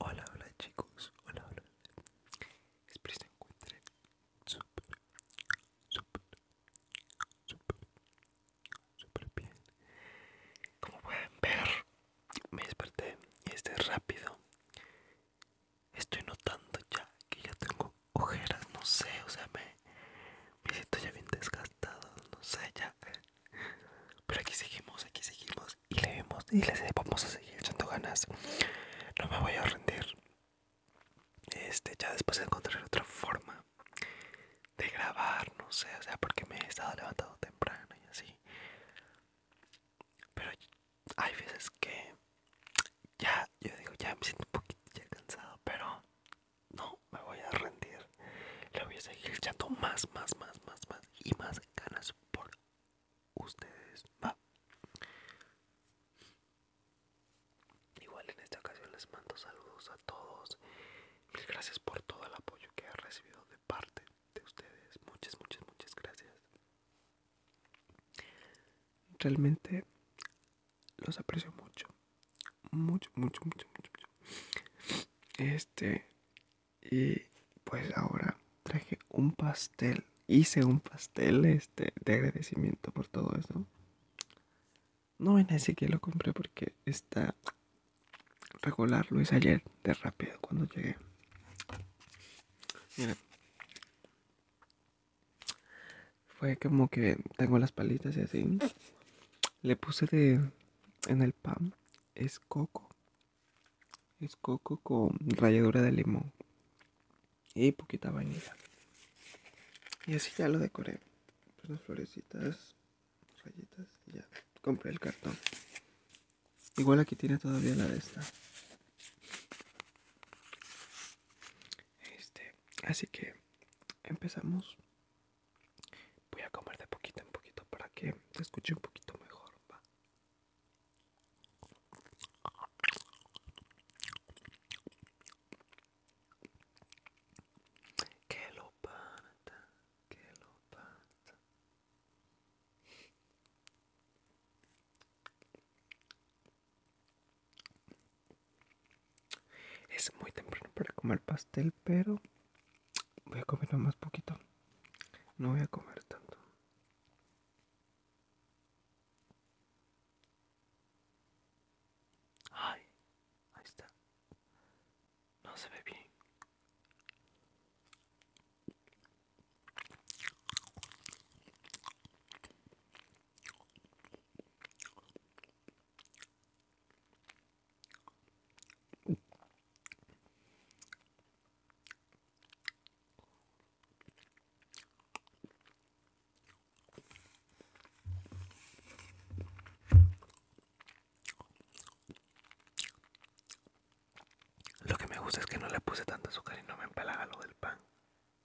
Hola, hola chicos, hola, hola. Espero se encuentren súper, súper, súper, súper bien. Como pueden ver, me desperté y este rápido. Estoy notando ya que ya tengo ojeras, no sé, o sea, me, siento ya bien desgastado, no sé, ya. Pero aquí seguimos, aquí seguimos y le vemos y le vamos a seguir echando ganas. No me voy a rendir. Este, ya después encontraré otra forma de grabar, no sé, o sea, porque me he estado levantado temprano y así. Pero hay veces que ya, yo digo, ya me siento un poquito ya cansado, pero no me voy a rendir. Le voy a seguir echando más, más, más, más, más y más ganas por ustedes. Igual en esta ocasión les mando saludos a todos. Mil gracias por todo el apoyo que he recibido de parte de ustedes. Muchas, muchas, muchas gracias. Realmente los aprecio mucho. Mucho, mucho, mucho, mucho, Este, y pues ahora traje un pastel. Hice un pastel este, de agradecimiento por todo eso. No en ese que lo compré porque está regular. Lo hice ayer de rápido cuando llegué. mira fue como que tengo las palitas y así. Le puse de en el pan. Es coco. Es coco con ralladura de limón. Y poquita vainilla. Y así ya lo decoré. Unas pues florecitas, rayitas y ya. Compré el cartón. Igual aquí tiene todavía la de esta este así que empezamos voy a comer de poquito en poquito para que te escuche un poquito mejor ¿va? Es muy temprano para comer pastel, pero voy a comer más poquito. No voy a comer tanto. Ay, ahí está. No se ve bien. Lo que me gusta es que no le puse tanto azúcar y no me empalaga lo del pan.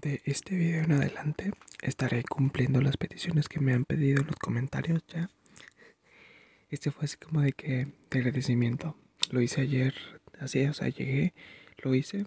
De este video en adelante estaré cumpliendo las peticiones que me han pedido en los comentarios ya. Este fue así como de que de agradecimiento. Lo hice ayer, así, o sea, llegué, lo hice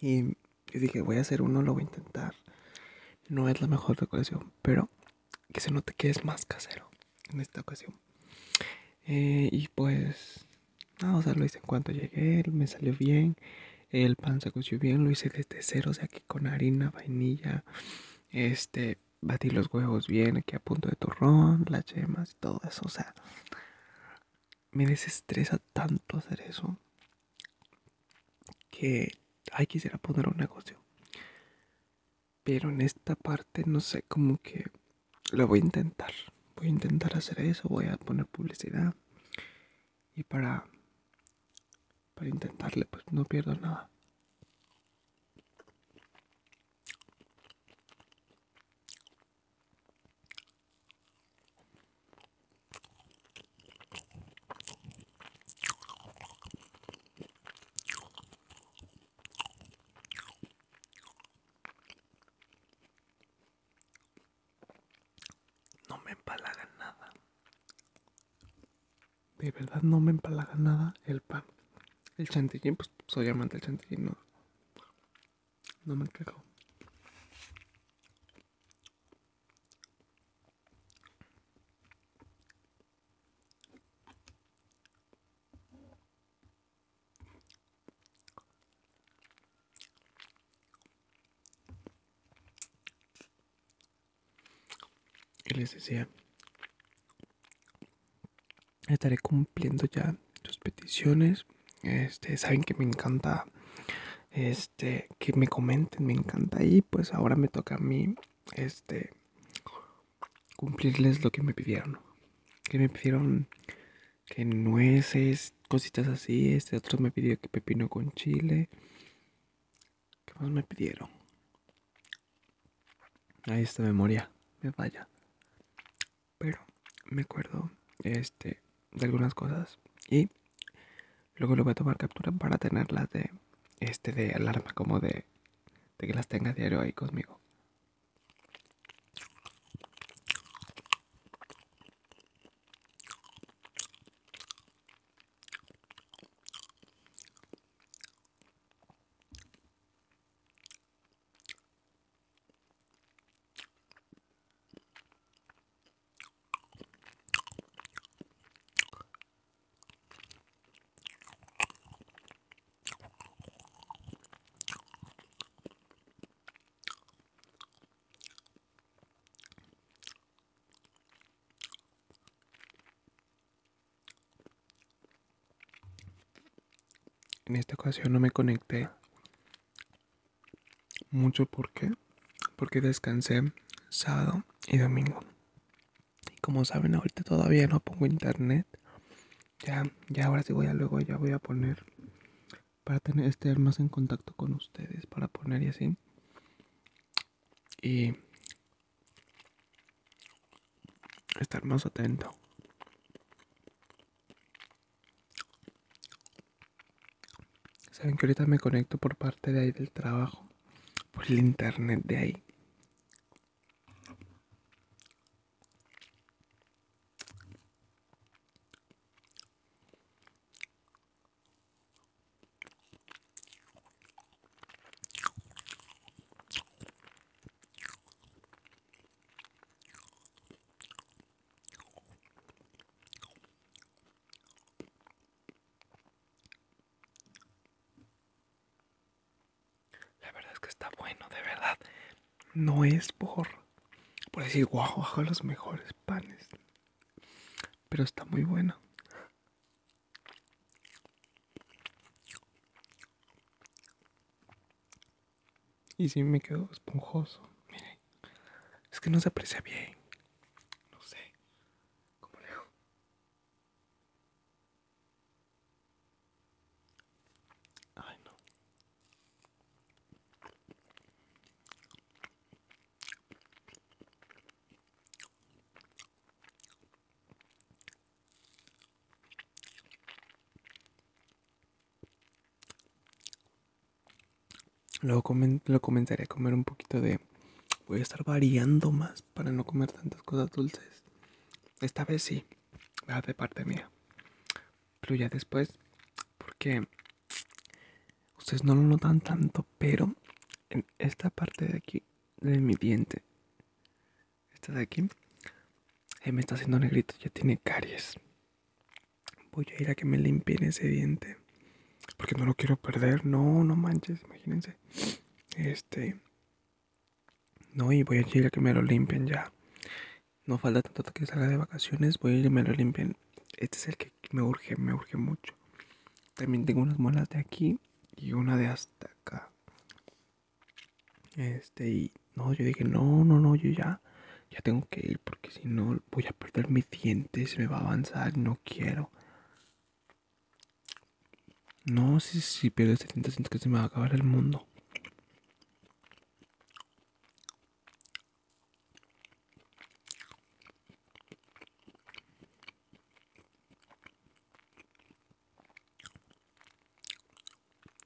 y, dije, voy a hacer uno, lo voy a intentar. No es la mejor decoración, pero que se note que es más casero en esta ocasión. Eh, y pues, lo hice en cuanto llegué, me salió bien. El pan se coció bien, lo hice desde cero, o sea, aquí con harina, vainilla, este, batí los huevos bien, aquí a punto de turrón, las yemas y todo eso, o sea, me desestresa tanto hacer eso que ay quisiera poner un negocio pero en esta parte no sé como que lo voy a intentar voy a intentar hacer eso voy a poner publicidad y para para intentarle pues no pierdo nada no me empalaga nada. De verdad no me empalaga nada el pan. El chantillín pues soy amante del chantillín, no. No me quejo. Y les decía, estaré cumpliendo ya sus peticiones este saben que me encanta este que me comenten me encanta y pues ahora me toca a mí este cumplirles lo que me pidieron que me pidieron que nueces cositas así este otro me pidió que pepino con chile qué más me pidieron ahí esta memoria me falla pero me acuerdo este de algunas cosas y luego lo voy a tomar captura para tenerlas de este de alarma como de que las tenga diario ahí conmigo en esta ocasión no me conecté mucho porque porque descansé sábado y domingo. Y como saben, ahorita todavía no pongo internet. Ya, ya ahora sí voy a luego ya voy a poner para tener estar más en contacto con ustedes, para poner y así. Y estar más atento. Saben que ahorita me conecto por parte de ahí del trabajo, por el internet de ahí. La verdad es que está bueno, de verdad. No es por, por decir, guau, a los mejores panes. Pero está muy bueno. Y sí me quedó esponjoso. Miren. Es que no se aprecia bien. No sé. ¿Cómo leo no. Luego lo comenzaré a comer un poquito de... Voy a estar variando más para no comer tantas cosas dulces. Esta vez sí, de parte mía. Pero ya después, porque ustedes no lo notan tanto, pero en esta parte de aquí de mi diente esta de aquí me está haciendo negrito, ya tiene caries. Voy a ir a que me limpien ese diente. Porque no lo quiero perder. No, no manches, imagínense. Este. No, y voy a ir a que me lo limpien ya. No falta tanto que salga de vacaciones. Voy a ir a me lo limpien. Este es el que me urge, me urge mucho. También tengo unas molas de aquí y una de hasta acá. Este, y no, yo dije, no, no, no, yo ya, ya tengo que ir porque si no voy a perder mis dientes, me va a avanzar, no quiero. No, si, si pierdo este diente siento que se me va a acabar el mundo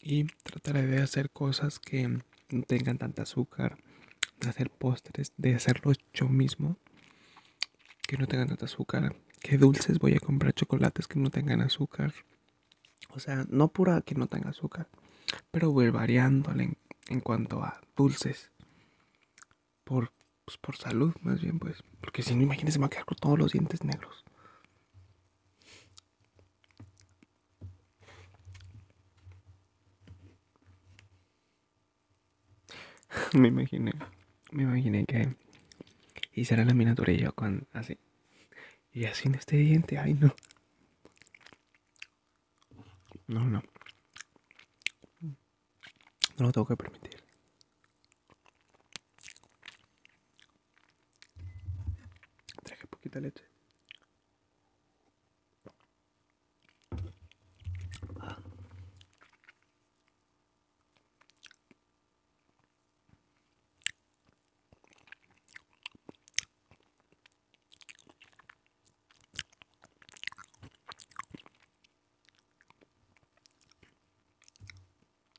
y trataré de hacer cosas que no tengan tanto azúcar, de hacer postres, de hacerlo yo mismo, que no tengan tanto azúcar, que dulces voy a comprar chocolates que no tengan azúcar, o sea, no pura que no tenga azúcar, pero voy variando en, cuanto a dulces, por, pues, por salud más bien pues, porque si no imagínense me a quedar con todos los dientes negros. me imaginé, me imaginé que hiciera la miniatura y yo con así. Y así en este diente, ay no. No, no. No lo tengo que permitir. Traje poquita leche.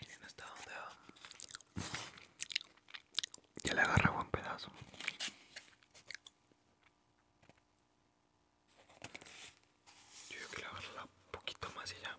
Miren hasta dónde va. Ya le agarra buen pedazo. Yo creo que le agarra un poquito más y ya.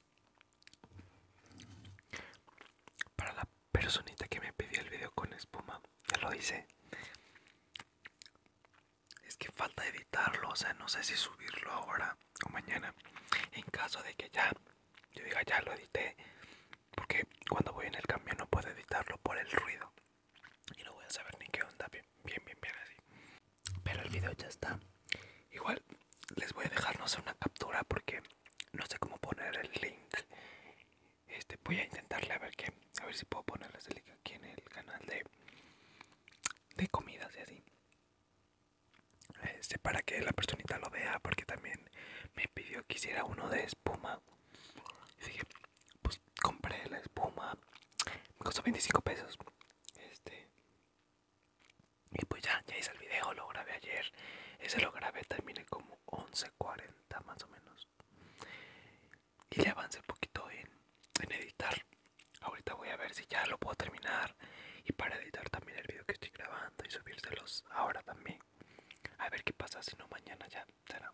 Para la personita que me pidió el video con espuma, ya lo hice. Es que falta editarlo, o sea, no sé si subirlo ahora o mañana. En caso de que ya, yo diga ya lo edité, porque cuando voy en el camión no puedo editarlo por el ruido. Y no voy a saber ni qué onda, bien, bien, bien, bien así. Pero el video ya está. Igual les voy a dejar, no sé, una captura porque no sé cómo poner el link. Este, voy a intentarle a ver qué, a ver si puedo poner el link aquí en el canal de, de comidas y así. Este, para que la personita lo vea, porque también me pidió que hiciera uno de espuma. Así que, pues compré la espuma, me costó 25 pesos. Este, y pues ya, ya hice el video, lo grabé ayer. Ese lo grabé, terminé como 11.40 más o menos. Y le avancé un poquito en, en editar. Ahorita voy a ver si ya lo puedo terminar. Y para editar también el video que estoy grabando y subírselos ahora también. A ver qué pasa, si no mañana ya será.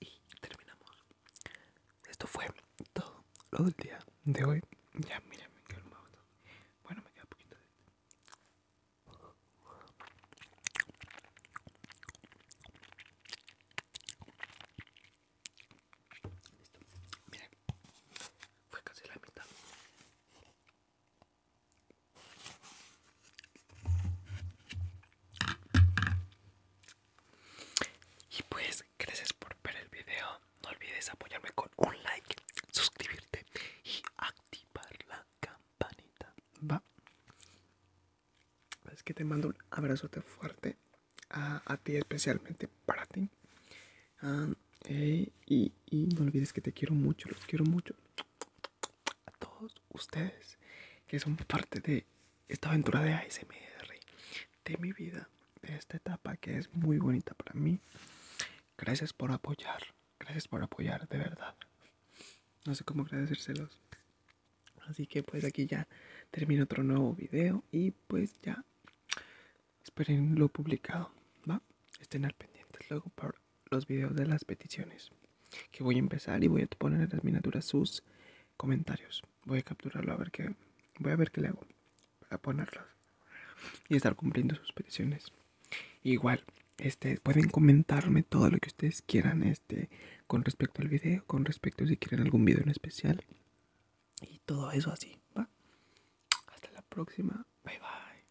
y terminamos. Esto fue todo lo del día de hoy. Ya, miren, me quedo Bueno, me queda poquito de. esto Listo, miren, fue casi la mitad. Y pues, gracias por ver el video. No olvides apoyarme con un like, suscribirte y activar la campanita. Va. Es que te mando un abrazote fuerte a, ti, especialmente para ti. Ah, y, y no olvides que te quiero mucho, los quiero mucho a todos ustedes que son parte de esta aventura de ASMR de mi vida, de esta etapa que es muy bonita para mí. Gracias por apoyar, gracias por apoyar, de verdad. No sé cómo agradecérselos. Así que pues aquí ya termino otro nuevo video y pues ya esperen lo publicado, ¿va? Estén al pendiente luego para los videos de las peticiones. Que voy a empezar y voy a poner en las miniaturas sus comentarios. Voy a capturarlo a ver qué. Voy a ver qué le hago para ponerlos y estar cumpliendo sus peticiones. Igual, este, pueden comentarme todo lo que ustedes quieran este, con respecto al video, con respecto si quieren algún video en especial y todo eso así, Hasta la próxima. Bye bye.